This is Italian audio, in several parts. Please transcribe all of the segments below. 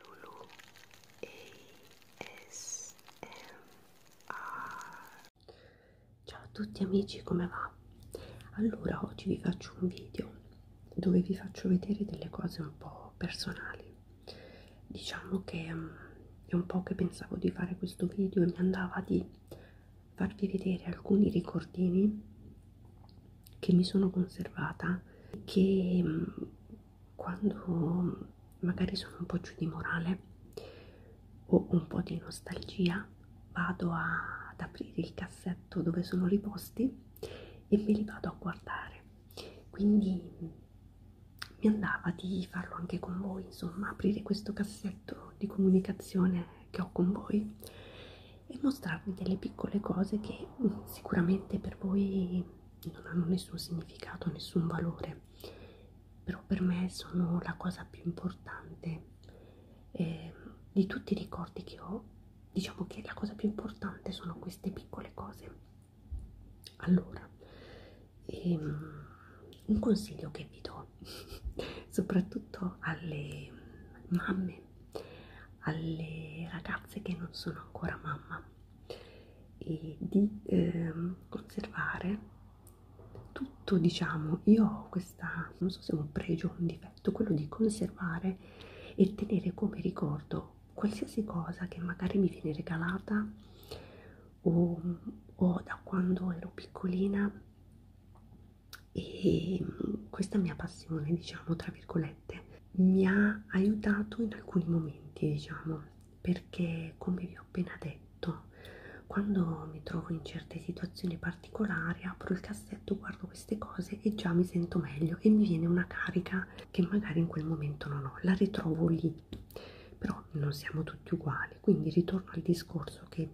Lulu ASMR Ciao a tutti amici, come va? Allora, oggi vi faccio un video dove vi faccio vedere delle cose un po' personali. Diciamo che um, è un po' che pensavo di fare questo video e mi andava di farvi vedere alcuni ricordini che mi sono conservata che mm, quando magari sono un po' giù di morale o un po' di nostalgia vado a, ad aprire il cassetto dove sono riposti e me li vado a guardare quindi mm, mi andava di farlo anche con voi insomma aprire questo cassetto di comunicazione che ho con voi e mostrarvi delle piccole cose che mm, sicuramente per voi non hanno nessun significato, nessun valore, però per me sono la cosa più importante eh, di tutti i ricordi che ho. Diciamo che la cosa più importante sono queste piccole cose. Allora, ehm, un consiglio che vi do soprattutto alle mamme alle ragazze che non sono ancora mamma e di eh, conservare tutto diciamo io ho questa non so se è un pregio o un difetto quello di conservare e tenere come ricordo qualsiasi cosa che magari mi viene regalata o, o da quando ero piccolina e mm, questa mia passione diciamo tra virgolette mi ha aiutato in alcuni momenti, diciamo, perché come vi ho appena detto, quando mi trovo in certe situazioni particolari, apro il cassetto, guardo queste cose e già mi sento meglio e mi viene una carica che magari in quel momento non ho, la ritrovo lì. Però non siamo tutti uguali, quindi ritorno al discorso che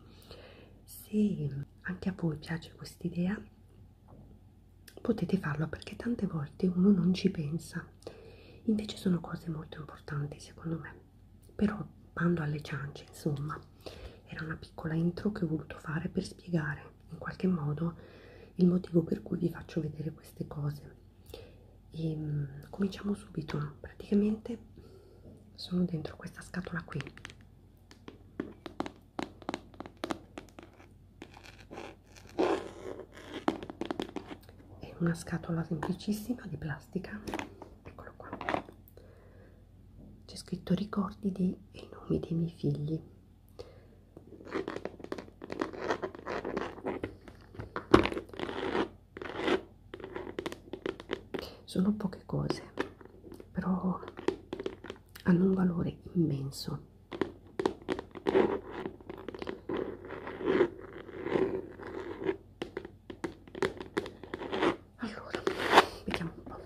se anche a voi piace quest'idea potete farlo perché tante volte uno non ci pensa invece sono cose molto importanti secondo me però bando alle ciance insomma era una piccola intro che ho voluto fare per spiegare in qualche modo il motivo per cui vi faccio vedere queste cose e ehm, cominciamo subito praticamente sono dentro questa scatola qui e una scatola semplicissima di plastica eccolo qua c'è scritto ricordi dei i nomi dei miei figli sono poche cose però hanno un valore immenso allora vediamo un po'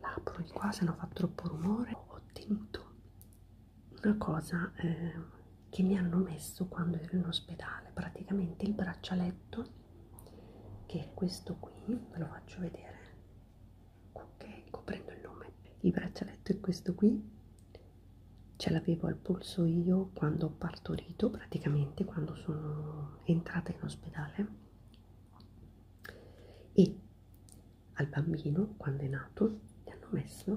l'apro di qua se non fa troppo rumore ho ottenuto una cosa eh, che mi hanno messo quando ero in ospedale praticamente il braccialetto che è questo qui ve lo faccio vedere ok coprendo ecco, il nome il braccialetto è questo qui ce l'avevo al polso io quando ho partorito praticamente quando sono entrata in ospedale e al bambino quando è nato gli hanno messo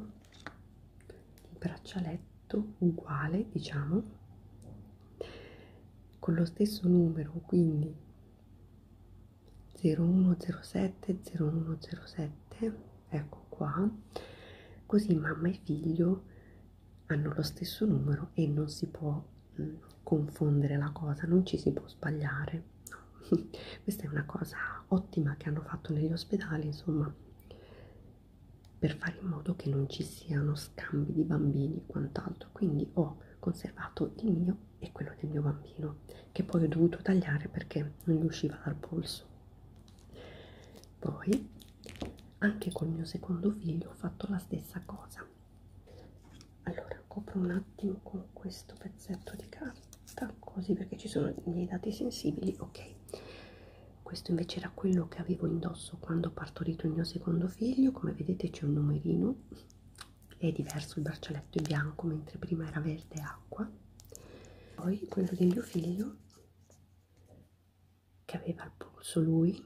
il braccialetto uguale diciamo con lo stesso numero quindi 0107 0107 ecco qua così mamma e figlio hanno lo stesso numero e non si può mh, mm, confondere la cosa non ci si può sbagliare no. questa è una cosa ottima che hanno fatto negli ospedali insomma per fare in modo che non ci siano scambi di bambini e quant'altro quindi ho conservato il mio e quello del mio bambino che poi ho dovuto tagliare perché non gli usciva dal polso poi anche col mio secondo figlio ho fatto la stessa cosa allora copro un attimo con questo pezzetto di carta così perché ci sono dei dati sensibili ok questo invece era quello che avevo indosso quando ho partorito il mio secondo figlio come vedete c'è un numerino è diverso il braccialetto è bianco mentre prima era verde acqua poi quello del mio figlio che aveva il polso lui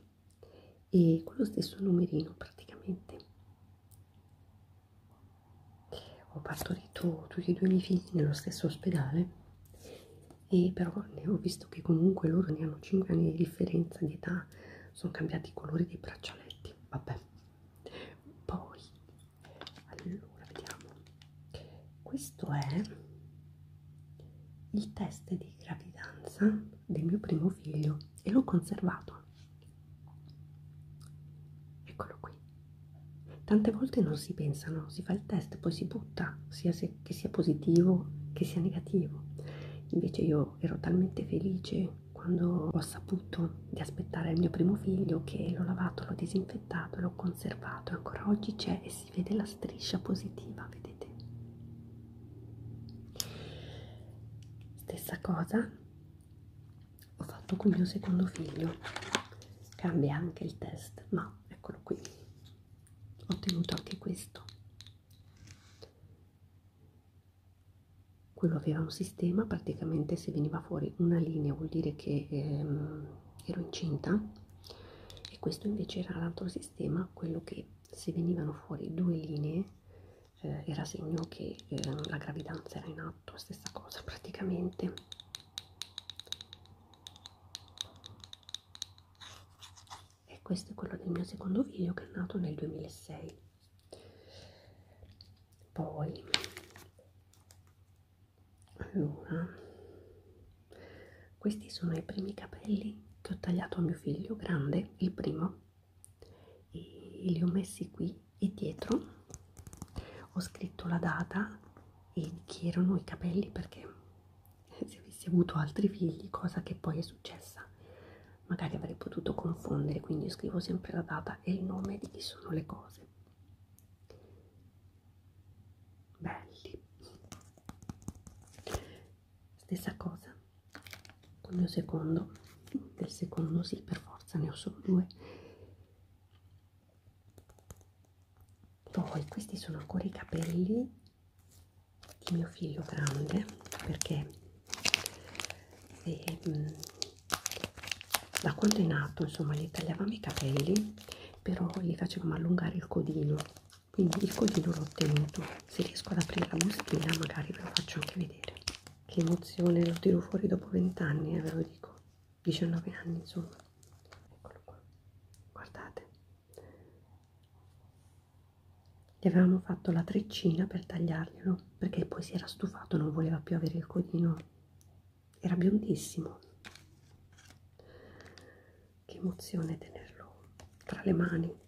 e con lo stesso numerino praticamente ho partorito tutti e due i miei figli nello stesso ospedale e però ne eh, ho visto che comunque loro ne hanno 5 anni di differenza di età sono cambiati i colori dei braccialetti vabbè poi allora vediamo questo è il test di gravidanza del mio primo figlio e l'ho conservato eccolo qui tante volte non si pensano si fa il test poi si butta sia se che, che sia positivo che sia negativo invece io ero talmente felice quando ho saputo di aspettare il mio primo figlio che l'ho lavato l'ho disinfettato l'ho conservato e ancora oggi c'è e si vede la striscia positiva vedete stessa cosa ho fatto con mio secondo figlio cambia anche il test ma eccolo qui ho ottenuto anche questo quello aveva un sistema praticamente se veniva fuori una linea vuol dire che ehm, ero incinta e questo invece era l'altro sistema quello che se venivano fuori due linee eh, era segno che eh, la gravidanza era in atto stessa cosa praticamente e questo è quello del mio secondo video che è nato nel 2006 poi allora questi sono i primi capelli che ho tagliato a mio figlio grande il primo e li ho messi qui e dietro ho scritto la data e chi erano i capelli perché se avessi avuto altri figli, cosa che poi è successa, magari avrei potuto confondere, quindi io scrivo sempre la data e il nome di chi sono le cose. Belli. Stessa cosa con il mio secondo, del secondo sì, per forza ne ho solo due poi questi sono ancora i capelli di mio figlio grande perché e, ehm, mh, da quando è nato insomma gli tagliavamo i capelli però gli facevamo allungare il codino quindi il codino l'ho ottenuto se riesco ad aprire la bustina magari ve lo faccio anche vedere che emozione lo tiro fuori dopo 20 anni eh, ve lo dico 19 anni insomma eccolo qua guardate gli avevamo fatto la treccina per tagliarglielo perché poi si era stufato non voleva più avere il codino era biondissimo che emozione tenerlo tra le mani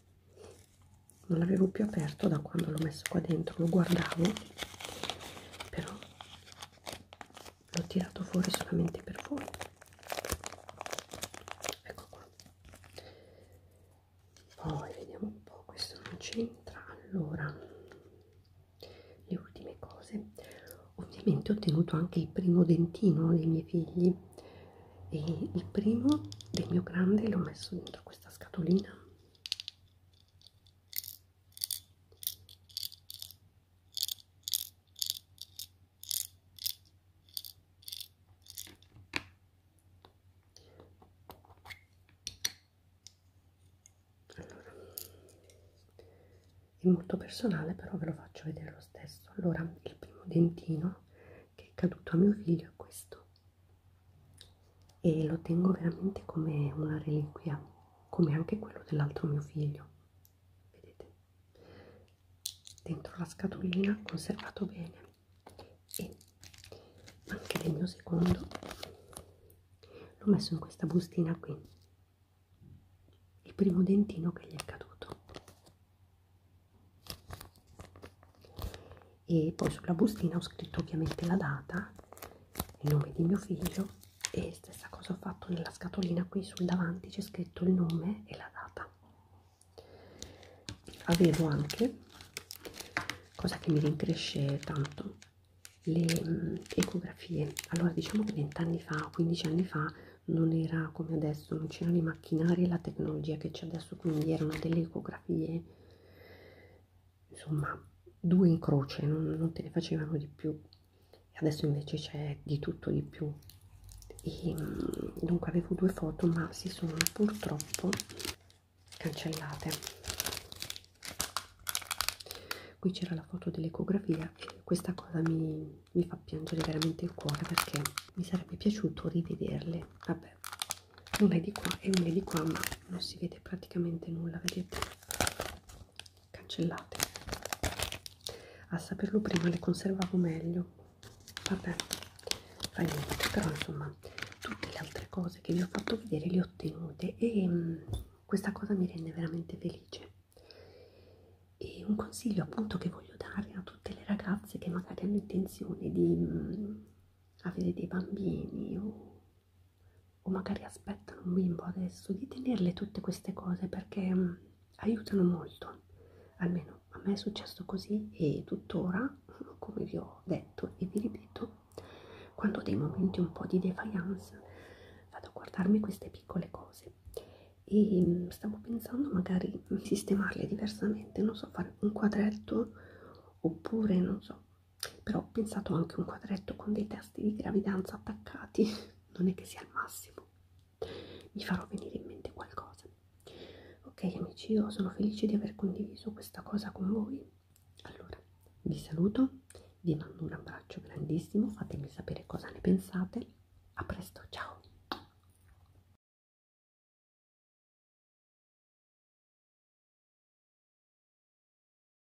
non l'avevo più aperto da quando l'ho messo qua dentro lo guardavo però l'ho tirato fuori solamente per voi ecco qua poi vediamo un po' questo non c'entra allora le ultime cose ovviamente ho ottenuto anche il primo dentino dei miei figli e il primo del mio grande l'ho messo dentro questa scatolina allora, è molto personale, però ve lo faccio vedere lo stesso. Allora, il primo dentino che è caduto a mio figlio è questo e lo tengo veramente come una reliquia, come anche quello dell'altro mio figlio vedete dentro la scatolina conservato bene e anche del mio secondo l'ho messo in questa bustina qui il primo dentino che gli è caduto e poi sulla bustina ho scritto ovviamente la data il nome di mio figlio e stessa cosa ho fatto nella scatolina qui sul davanti c'è scritto il nome e la data avevo anche cosa che mi rincresce tanto le mh, ecografie allora diciamo che 20 anni fa 15 anni fa non era come adesso non c'erano i macchinari e la tecnologia che c'è adesso quindi erano delle ecografie insomma due in croce non, non te ne facevano di più adesso invece c'è di tutto di più e dunque avevo due foto ma si sono purtroppo cancellate qui c'era la foto dell'ecografia e questa cosa mi, mi fa piangere veramente il cuore perché mi sarebbe piaciuto rivederle vabbè una è di qua e una è di qua ma non si vede praticamente nulla vedete cancellate a saperlo prima le conservavo meglio vabbè fa niente però insomma tutte le altre cose che vi ho fatto vedere le ho ottenute e mh, mm, questa cosa mi rende veramente felice e un consiglio appunto che voglio dare a tutte le ragazze che magari hanno intenzione di mh, mm, avere dei bambini o o magari aspettano un bimbo adesso di tenerle tutte queste cose perché mh, mm, aiutano molto almeno a me è successo così e tuttora come vi ho detto e vi ripeto quando ho dei momenti un po' di defiance vado a guardarmi queste piccole cose e mh, mm, stavo pensando magari di sistemarle diversamente non so fare un quadretto oppure non so però ho pensato anche un quadretto con dei testi di gravidanza attaccati non è che sia il massimo mi farò venire in mente qualcosa ok amici io sono felice di aver condiviso questa cosa con voi allora vi saluto vi mando un abbraccio grandissimo fatemi sapere cosa ne pensate a presto ciao